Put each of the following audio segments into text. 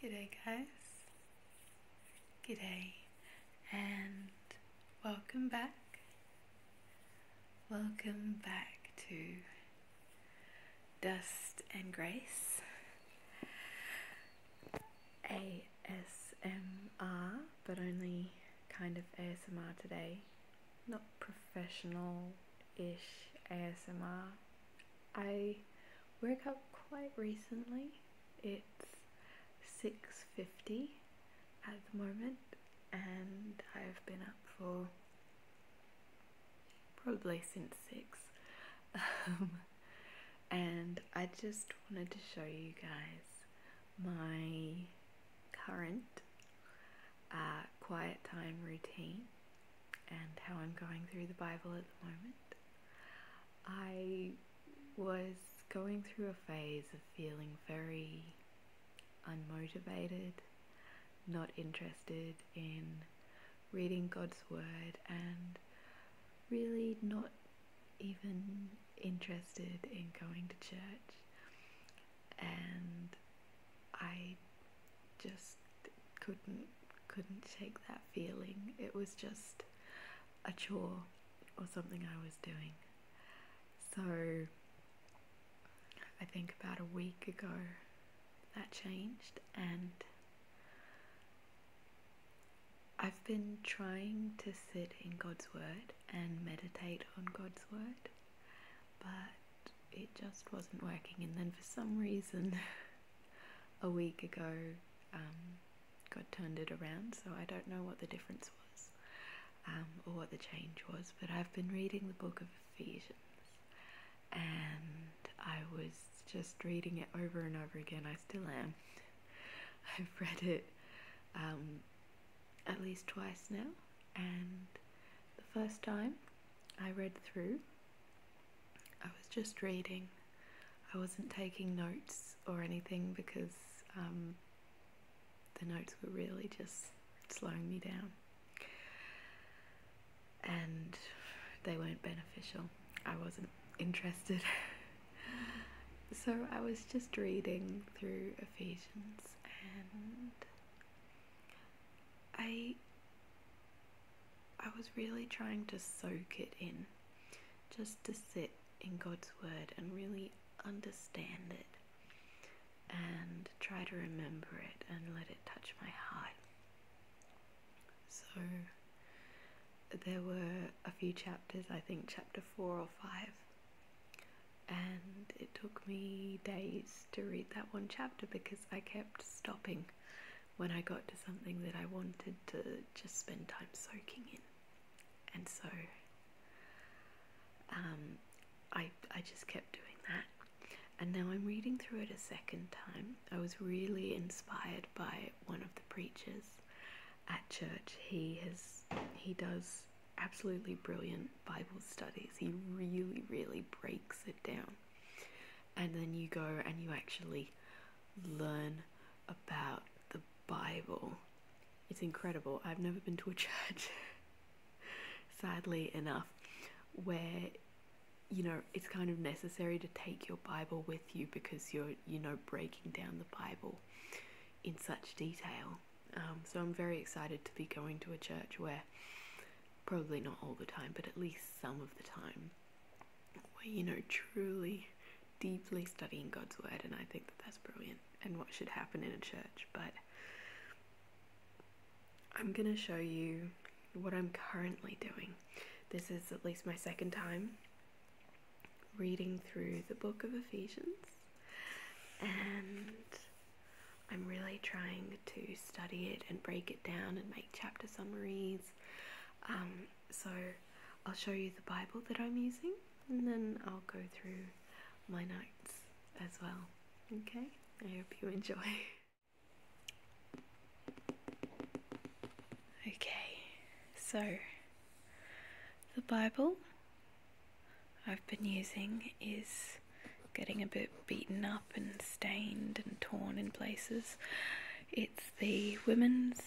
Good day, guys. G'day, and welcome back. Welcome back to Dust and Grace ASMR, but only kind of ASMR today. Not professional ish ASMR. I woke up quite recently. It's 6.50 at the moment and I've been up for probably since 6 um, and I just wanted to show you guys my current uh, quiet time routine and how I'm going through the Bible at the moment. I was going through a phase of feeling very unmotivated, not interested in reading God's Word, and really not even interested in going to church and I just couldn't couldn't shake that feeling. It was just a chore or something I was doing. So I think about a week ago that changed and I've been trying to sit in God's Word and meditate on God's Word, but it just wasn't working. And then for some reason, a week ago, um, God turned it around. So I don't know what the difference was um, or what the change was, but I've been reading the book of Ephesians and I was just reading it over and over again. I still am. I've read it um, at least twice now, and the first time I read through, I was just reading. I wasn't taking notes or anything because um, the notes were really just slowing me down. And they weren't beneficial. I wasn't interested. so I was just reading through Ephesians and I I was really trying to soak it in just to sit in God's word and really understand it and try to remember it and let it touch my heart. So there were a few chapters, I think chapter 4 or 5 and it took me days to read that one chapter because I kept stopping when I got to something that I wanted to just spend time soaking in. And so um, I, I just kept doing that. And now I'm reading through it a second time. I was really inspired by one of the preachers at church. He has he does absolutely brilliant Bible studies. He really, really breaks it down. And then you go and you actually learn about the Bible. It's incredible. I've never been to a church, sadly enough, where you know it's kind of necessary to take your Bible with you because you're you know breaking down the Bible in such detail. Um, so I'm very excited to be going to a church where, probably not all the time, but at least some of the time, where you know truly, deeply studying God's word, and I think that that's brilliant and what should happen in a church. But I'm gonna show you what I'm currently doing. This is at least my second time reading through the book of Ephesians, and I'm really trying to study it and break it down and make chapter summaries. Um, so I'll show you the Bible that I'm using, and then I'll go through my notes as well. Okay? I hope you enjoy. Okay, so the Bible I've been using is getting a bit beaten up and stained and torn in places. It's the Women's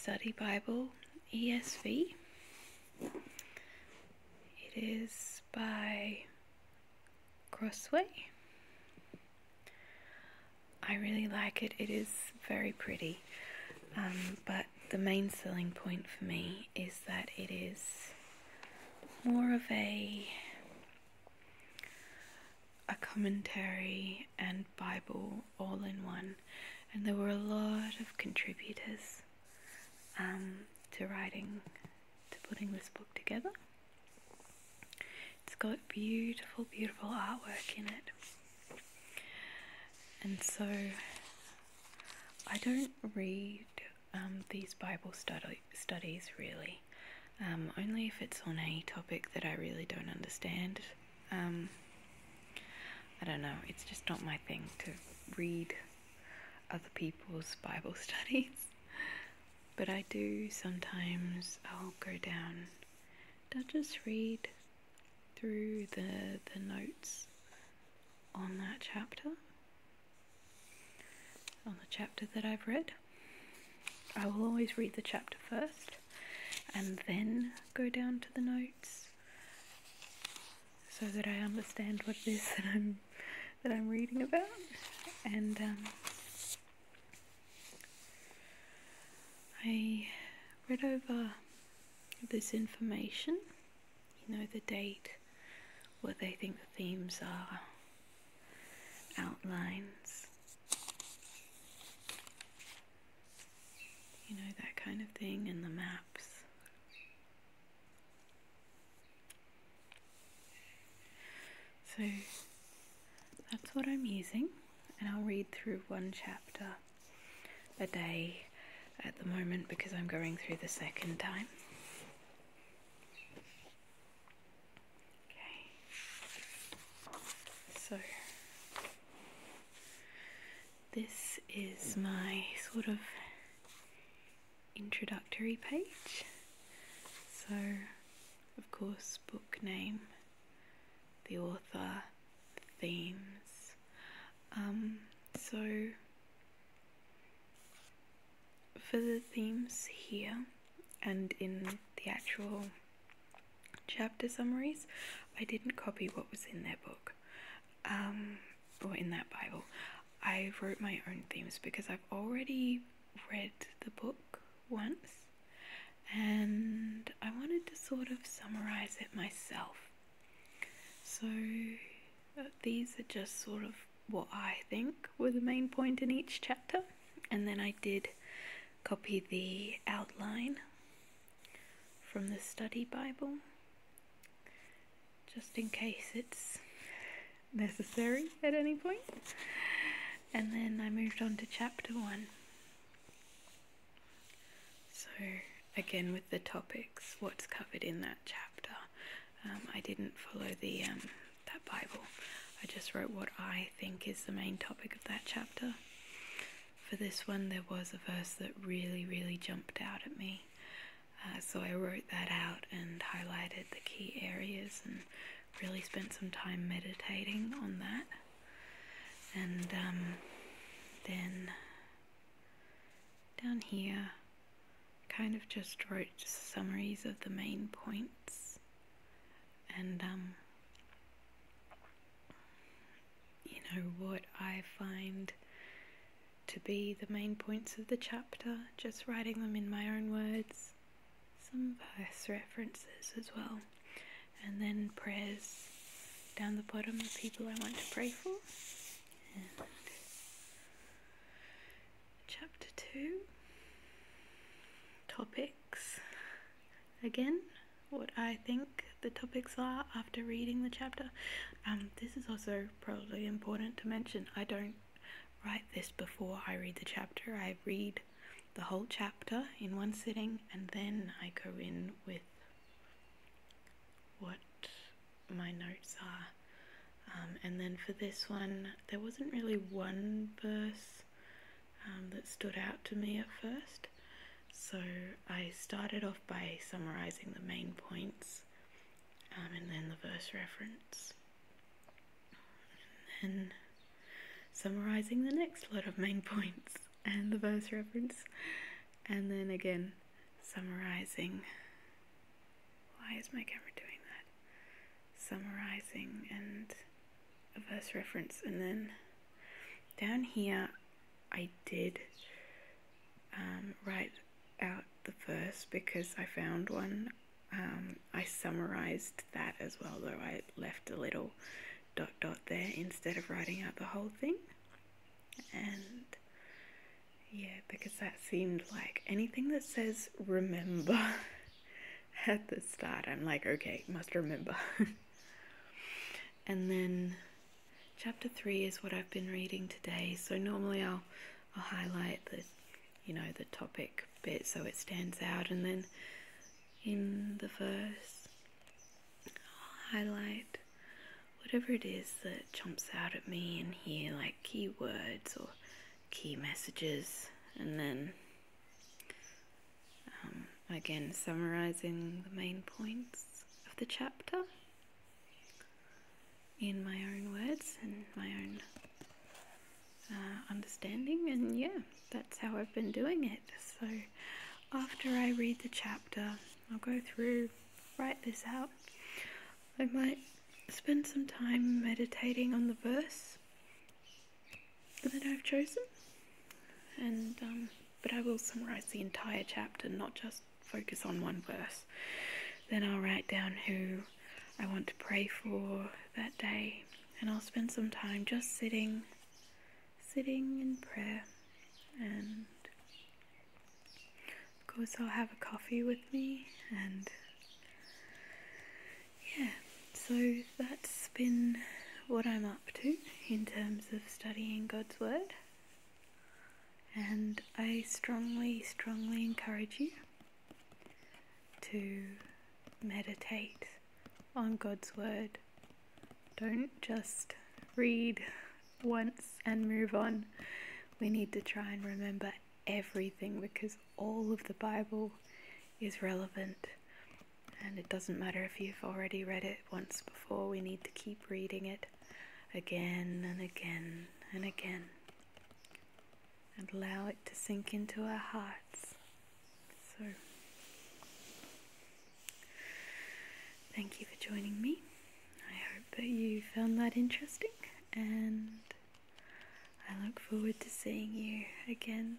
Study Bible ESV. It is by Crossway. I really like it. It is very pretty, um, but the main selling point for me is that it is more of a a commentary and Bible all in one, and there were a lot of contributors um, to writing, to putting this book together. It's got beautiful, beautiful artwork in it. And so I don't read um, these Bible study studies really, um, only if it's on a topic that I really don't understand. Um, I don't know, it's just not my thing to read other people's Bible studies. But I do sometimes, I'll go down, I'll just read through the the notes on that chapter on the chapter that I've read. I will always read the chapter first and then go down to the notes so that I understand what it is that I'm that I'm reading about and um, I read over this information, you know, the date, what they think the themes are, outlines, you know, that kind of thing, and the maps. So that's what I'm using, and I'll read through one chapter a day at the moment because I'm going through the second time. Okay, so this is my sort of introductory page. So, of course, book name the author, themes. Um, so, for the themes here and in the actual chapter summaries, I didn't copy what was in their book um, or in that Bible. I wrote my own themes because I've already read the book once, and I wanted to sort of summarize it myself. So, uh, these are just sort of what I think were the main point in each chapter, and then I did copy the outline from the study Bible just in case it's necessary at any point and then I moved on to chapter one. So, again, with the topics, what's covered in that chapter, um, I didn't follow the um, that Bible. I just wrote what I think is the main topic of that chapter. For this one, there was a verse that really, really jumped out at me. Uh, so I wrote that out and highlighted the key areas and really spent some time meditating on that. And um, then down here, kind of just wrote summaries of the main points. And, um, you know, what I find to be the main points of the chapter, just writing them in my own words some verse references as well, and then prayers down the bottom of people I want to pray for. chapter 2 topics again what I think the topics are after reading the chapter. Um, this is also probably important to mention. I don't write this before I read the chapter. I read the whole chapter in one sitting and then I go in with what my notes are. Um, and then for this one, there wasn't really one verse um, that stood out to me at first. So I started off by summarizing the main points um, and then the verse reference. And summarizing the next lot of main points and the verse reference, and then again summarizing. Why is my camera doing that? Summarizing and a verse reference, and then down here I did um, write out the verse because I found one um, I summarized that as well, though I left a little dot dot there instead of writing out the whole thing. And yeah, because that seemed like anything that says remember at the start, I'm like, okay, must remember. and then chapter three is what I've been reading today. So normally I'll I'll highlight the you know the topic bit so it stands out and then in the verse I'll highlight whatever it is that jumps out at me in here like keywords or key messages and then um, again summarizing the main points of the chapter in my own words and my own uh, understanding, and yeah, that's how I've been doing it. So, after I read the chapter, I'll go through, write this out. I might spend some time meditating on the verse that I've chosen, and um, but I will summarize the entire chapter, not just focus on one verse. Then I'll write down who I want to pray for that day, and I'll spend some time just sitting, sitting in prayer, and of course I'll have a coffee with me, and yeah, so that's been what I'm up to in terms of studying God's Word and I strongly, strongly encourage you to meditate on God's Word. Don't just read once and move on. We need to try and remember everything because all of the Bible is relevant. And it doesn't matter if you've already read it once before, we need to keep reading it again and again and again and allow it to sink into our hearts. So, thank you for joining me. I hope that you found that interesting, and I look forward to seeing you again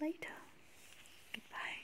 later. Goodbye.